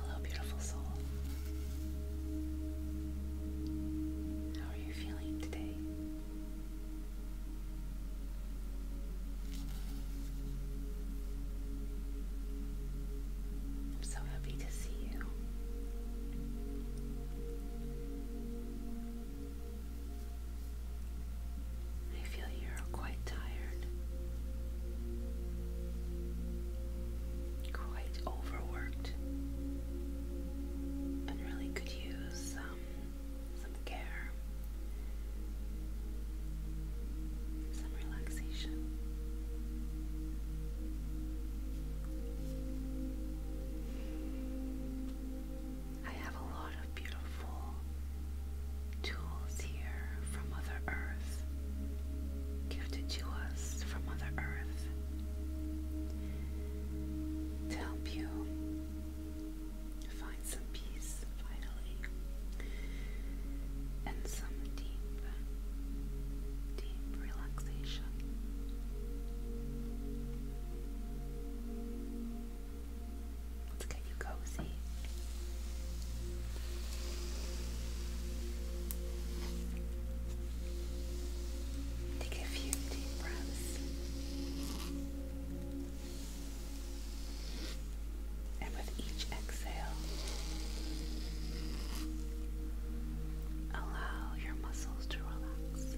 Hello, beautiful soul. How are you feeling today? I'm so happy to see you. I feel you're quite tired, quite overworked, and really could use um, some care, some relaxation. I have a lot of beautiful tools here from Mother Earth, gifted to us from Mother Earth, to help you find some peace finally and some deep, deep relaxation. Let's get you cozy. Take a few deep breaths. And with each exhale, allow your muscles to relax,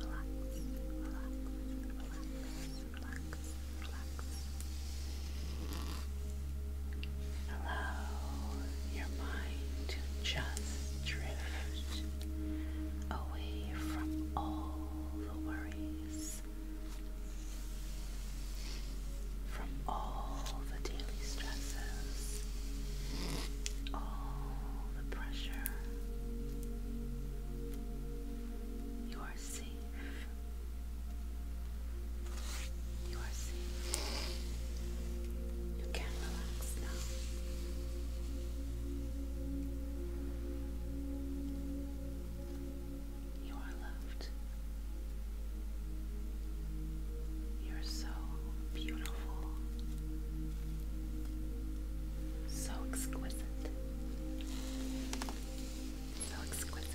relax, relax relax, relax. your mind to just drift away from all the worries, from all the daily stresses, all the pressure. You are safe. You are safe. You can relax now. You are loved. You're so beautiful, so exquisite. So exquisite.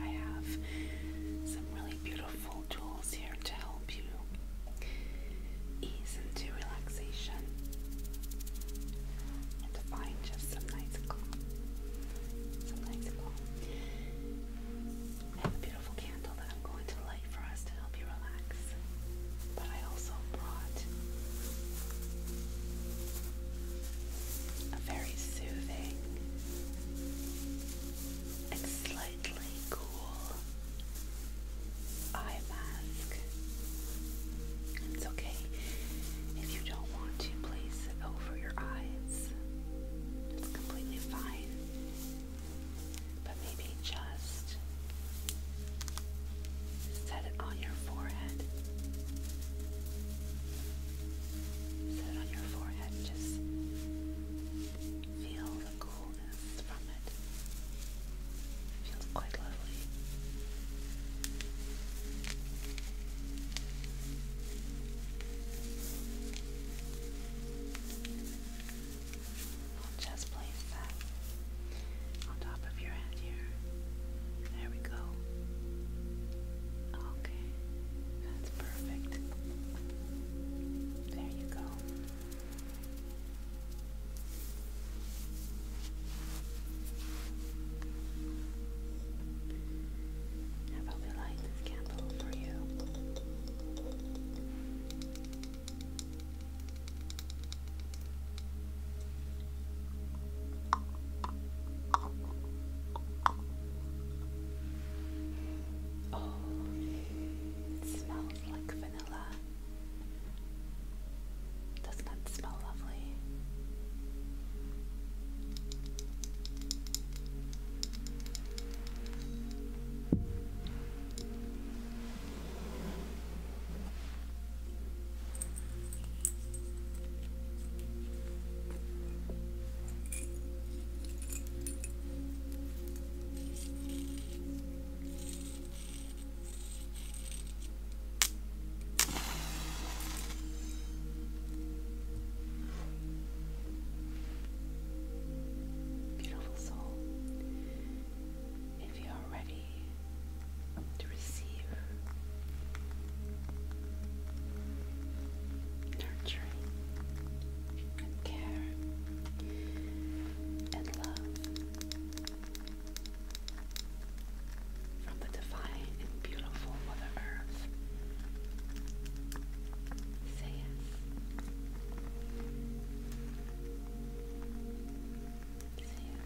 I have some really beautiful tools here to help you ease into relaxation and to find just some nice calm. I have a beautiful candle that I'm going to light for us to help you relax. But I also brought a very soothing and slightly cool eye mask it's okay if you don't want to place it over your eyes. It's completely fine. But maybe just set it on your forehead. Set it on your forehead. Just feel the coolness from it. feels quite lovely just place that on top of your head here. There we go. Okay, that's perfect. There you go. How about we light this candle for you? Oh, it smells like vanilla. does that smell so lovely. Beautiful soul, if you are ready to receive nurturing care and love from the divine and beautiful Mother Earth. Say it. Say it.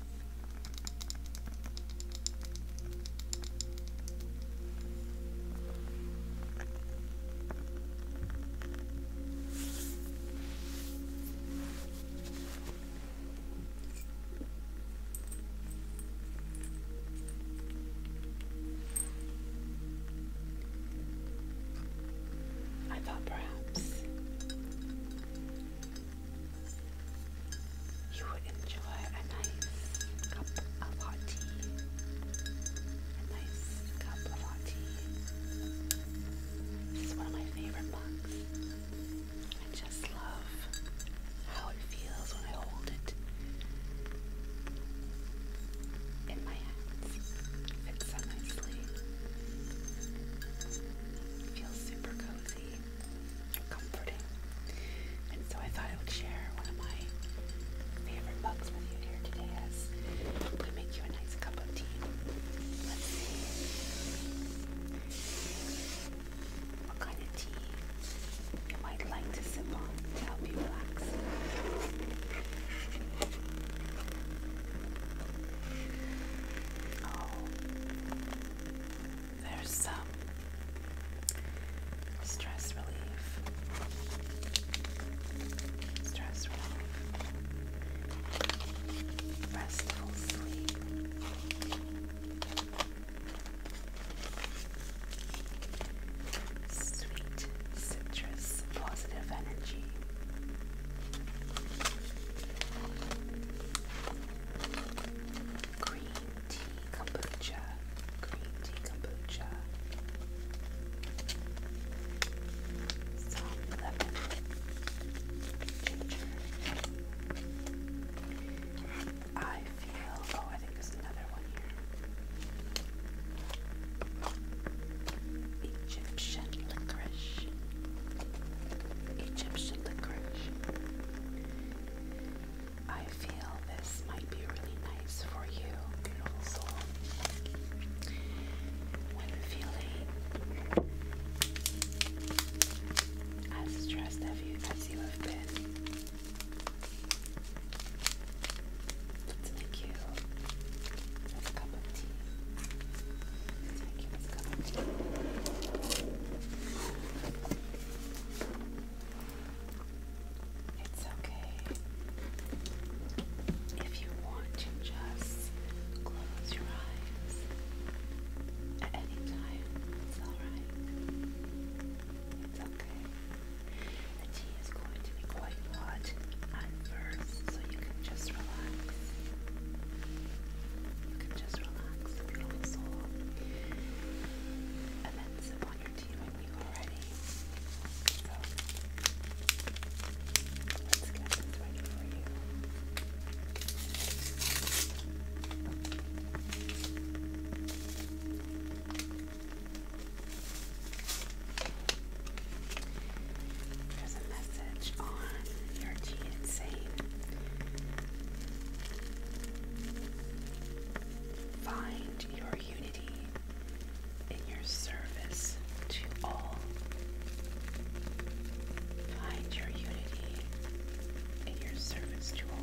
I thought perhaps you would enjoy a nice cup of hot tea. A nice cup of hot tea. This is one of my favorite mugs just love how it feels when I hold it in my hands. It fits so nicely. feels super cozy and comforting. And so I thought I would share one of my favorite books with you here today as we make you a nice cup of tea. Let's see what kind of tea you might like to sip on to help you relax. Oh, there's some um, stress relief, stress relief, restful sleep. Sweet citrus, positive energy. Green tea kombucha, green tea kombucha. Some lemon, ginger. I feel, oh, I think there's another one here. Egyptian licorice. Egyptian licorice. I feel this might be really nice for you, beautiful soul. When feeling as stressed as you, as you have been, Thank you a cup of tea. let you a cup of tea. It's okay if you want to just close your eyes at any time. It's alright. It's the tea is going to be quite hot at first, so you can just relax. You can just relax your soul. And then sip on your tea when you are ready. let's get this ready for you. There's a message on your cheat saying find your unity in your service to all. Find your unity in your service to all.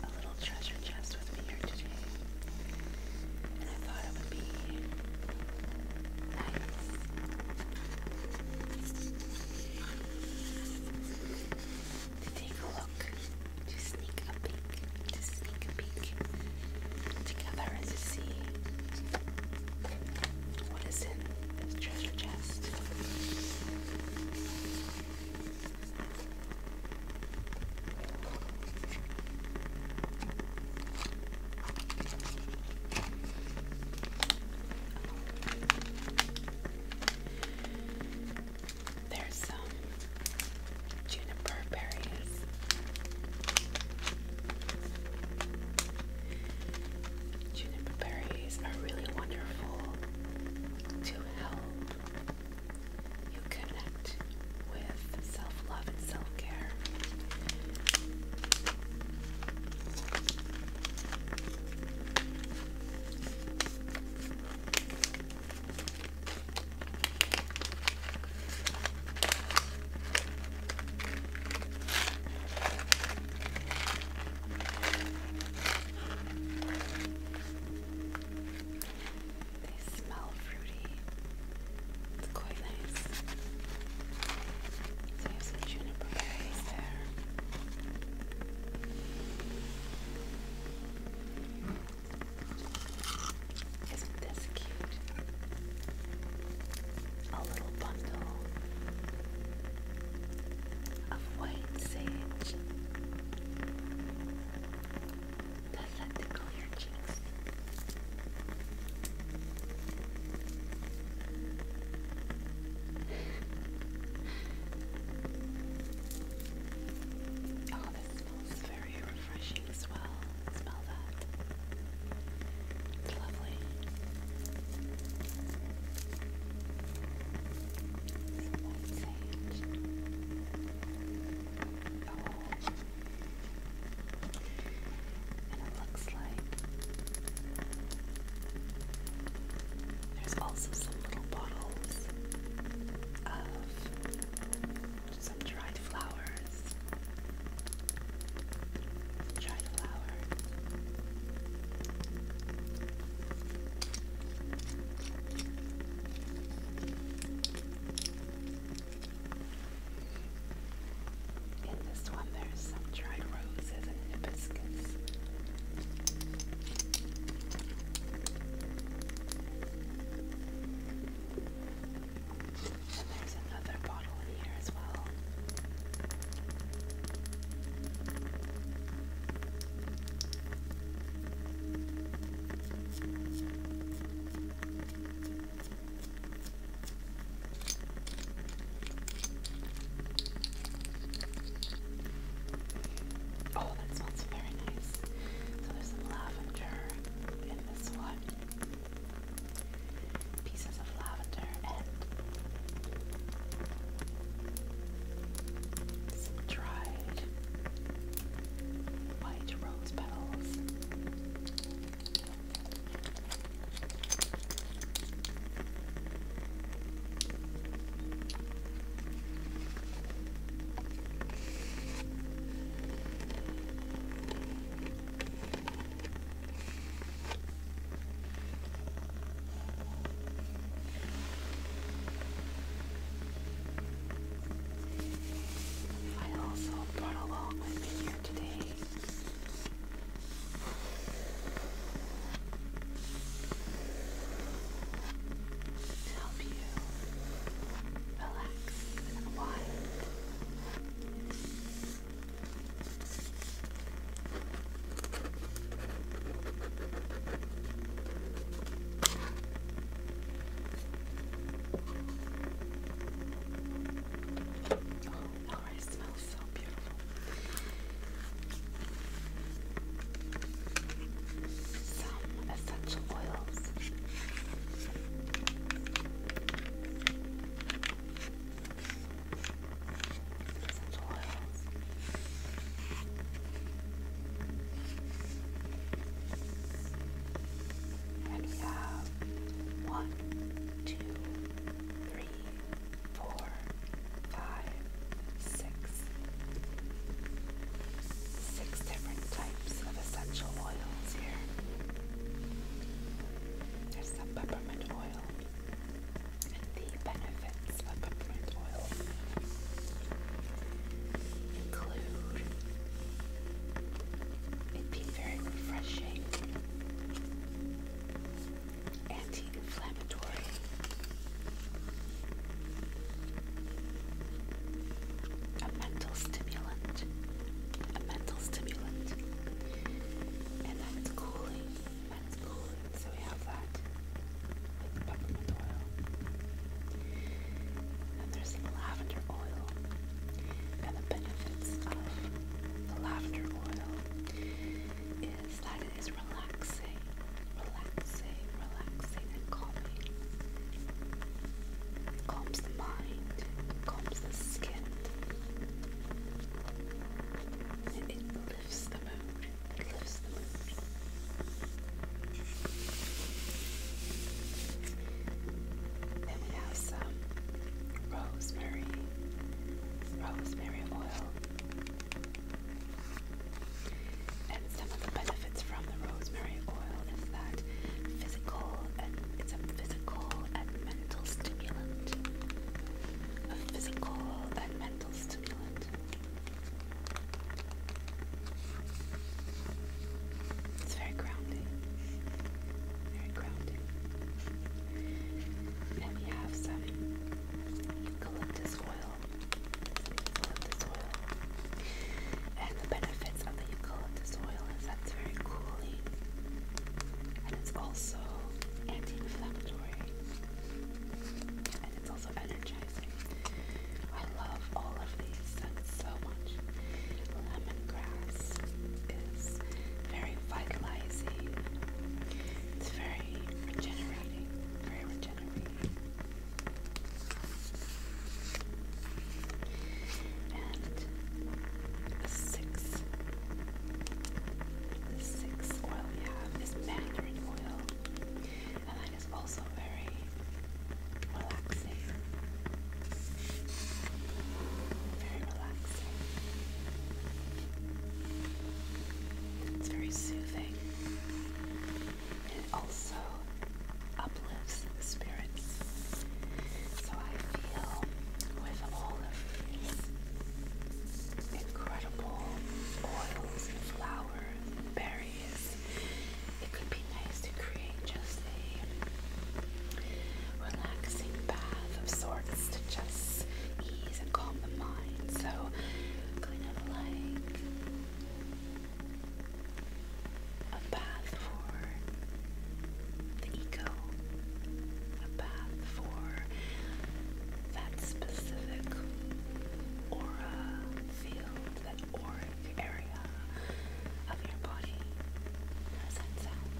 have a little treasure chest with me here today. And I thought it would be nice to take a look, to sneak a peek, to sneak a peek together and to see what is in this treasure chest. There's some juniper berries. Juniper berries are really wonderful to help you connect with self love and self care. They smell fruity. It's quite nice. So you juniper there. Isn't this cute? A little bundle of white sage does that tickle your cheeks? oh, this smells very refreshing as well. Smell that. It's lovely there's also some little bottles of some dried flowers. Dried flowers. In this one, there's some dried roses and hibiscus. And there's another bottle in here as well. Oh, that smells very nice. So there's some lavender in this one. Pieces of lavender and some dried white rose petals. I also brought along with me here today to help you relax and unwind. Oh, already smells so beautiful. Some essential oils. Essential oils one, two, three, four, five, six. Six different types of essential oils here. There's the peppermint oil and the benefit scents peppermint oil include it being very refreshing, anti inflammatory. A mental stimulant, a mental stimulant, and that's cooling, that's cooling, so we have that with peppermint oil. And there's lavender oil. And the benefits of the lavender oil is that it is relaxing, relaxing, relaxing, and calming. It calms the mind, calms the skin. It lifts the rosemary, rosemary oil. And some of the benefits from the rosemary oil is that physical it's a physical and mental stimulant. A physical and mental stimulant. It's very grounding. Very grounding. And we have some eucalyptus oil. Eucalyptus oil. And the benefits of the eucalyptus oil is that it's very cooling. And it's also anti-inflammatory. And it's also energizing. I love all of these so much. Lemongrass is very vitalizing. It's very regenerating. Very regenerating. And the sixth, the sixth oil we have is mandarin oil. It's also very relaxing. Very relaxing. It's very soothing. It also uplifts the spirits. So I feel with all of incredible oils and berries nice. It could be nice to create just a relaxing bath of sorts to just ease and calm the mind. So, kind of like a bath for the ego, a bath for that specific aura field, that aura area of your body. does that sound?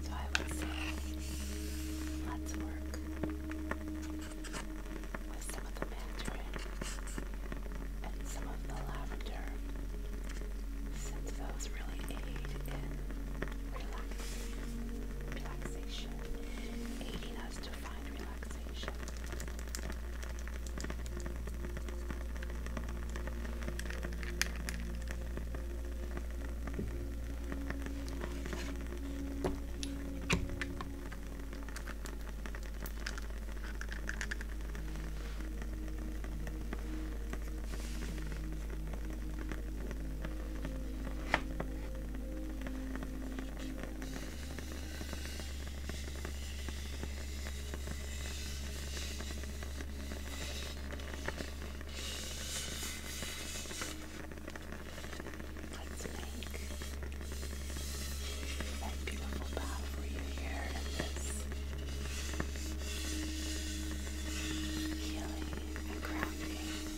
Sounds let's work with some of the mandarin and some of the lavender since those really aid in relaxation, helping us to find relaxation. Let's make that beautiful bow for you here in this healing and grounding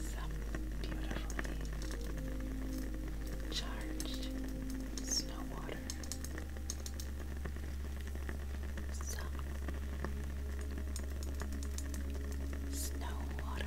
some beautifully charged snow water. Some snow water.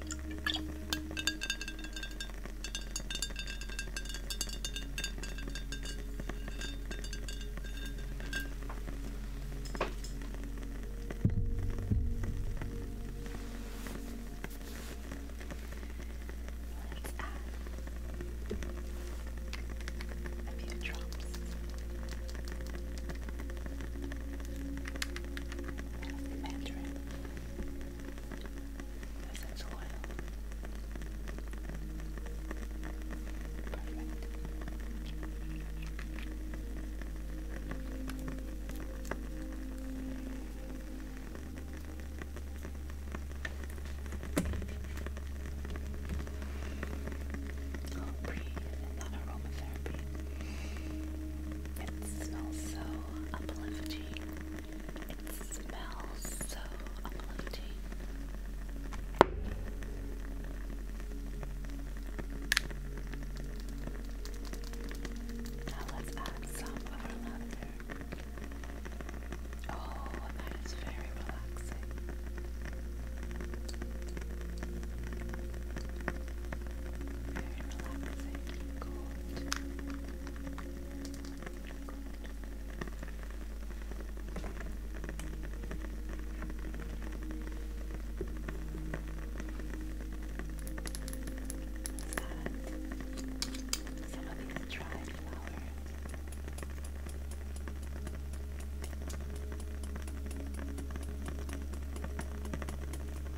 Let's add a few drops. Mandarin. Essential oil. Perfect. Oh, breathe and not aromatherapy. It smells so uplifting. It smells so uplifting. Now let's add some of Oh, that is very relaxing. Very relaxing. Gold. Got some of these dried flowers.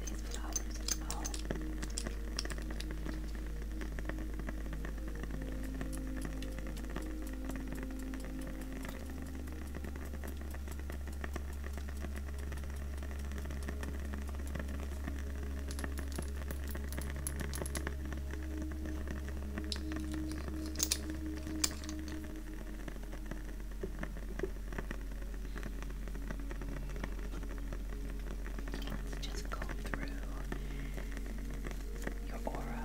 these flowers as well. All Let's just go through your aura.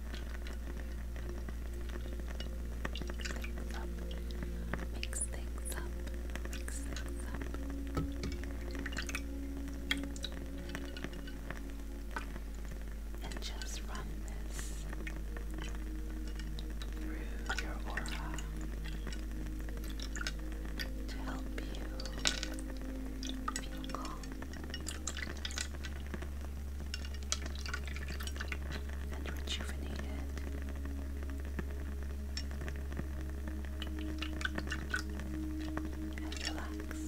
things up, mix things up, mix things up. And just run this through your aura to help you feel and rejuvenated. And relaxed.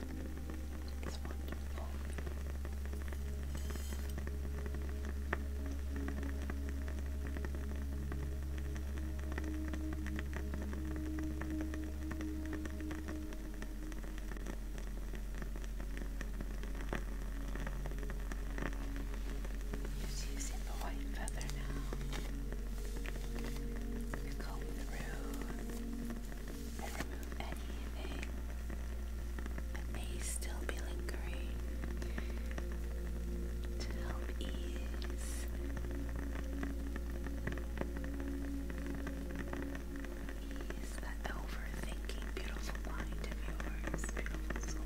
It's wonderful. Just using the white feather now to comb through and remove anything that may still be lingering to help ease ease that overthinking beautiful mind of yours, beautiful soul.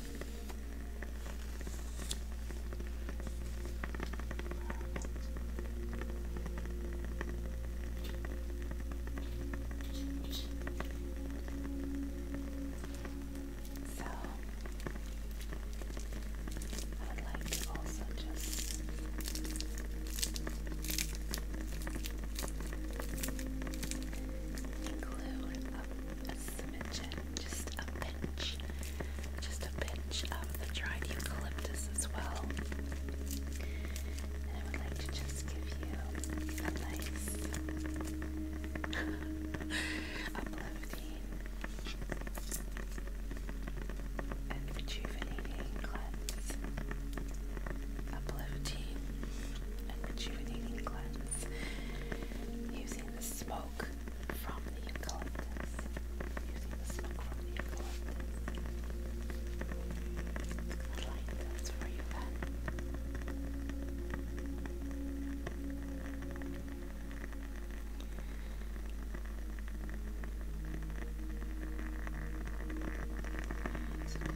So I would like to also just include a, a smidgen just a pinch, just a pinch of the dried eucalyptus as well. And I would like to just give you a nice uplifting and rejuvenating cleanse. Uplifting and rejuvenating cleanse using the smoke smoke from the eucalyptus. Using the smoke from the eucalyptus. I like those for you, Ben. That's good.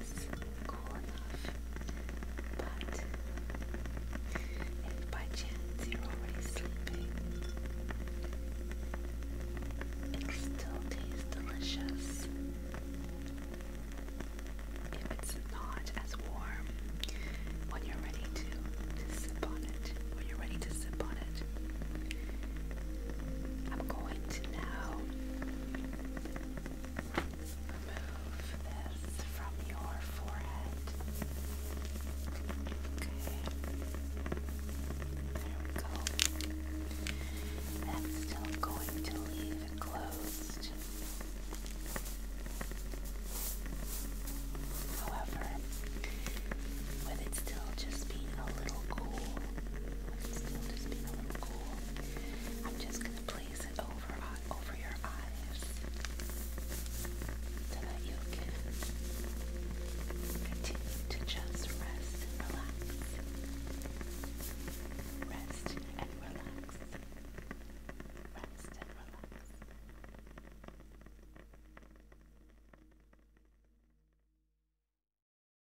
is cool enough, but if by chance you're already sleeping, it'll still taste delicious. If it's not as warm, when you're ready to sip on it, when you're ready to sip on it, I'm going to now Remove this from your forehead. Okay. There we go. That's still going to leave it closed. However, with it still just being a little cool, with it still just being a little cool. I'm just gonna place it over uh, over your eyes so that you can continue to just rest and relax. Rest and relax. Rest and relax.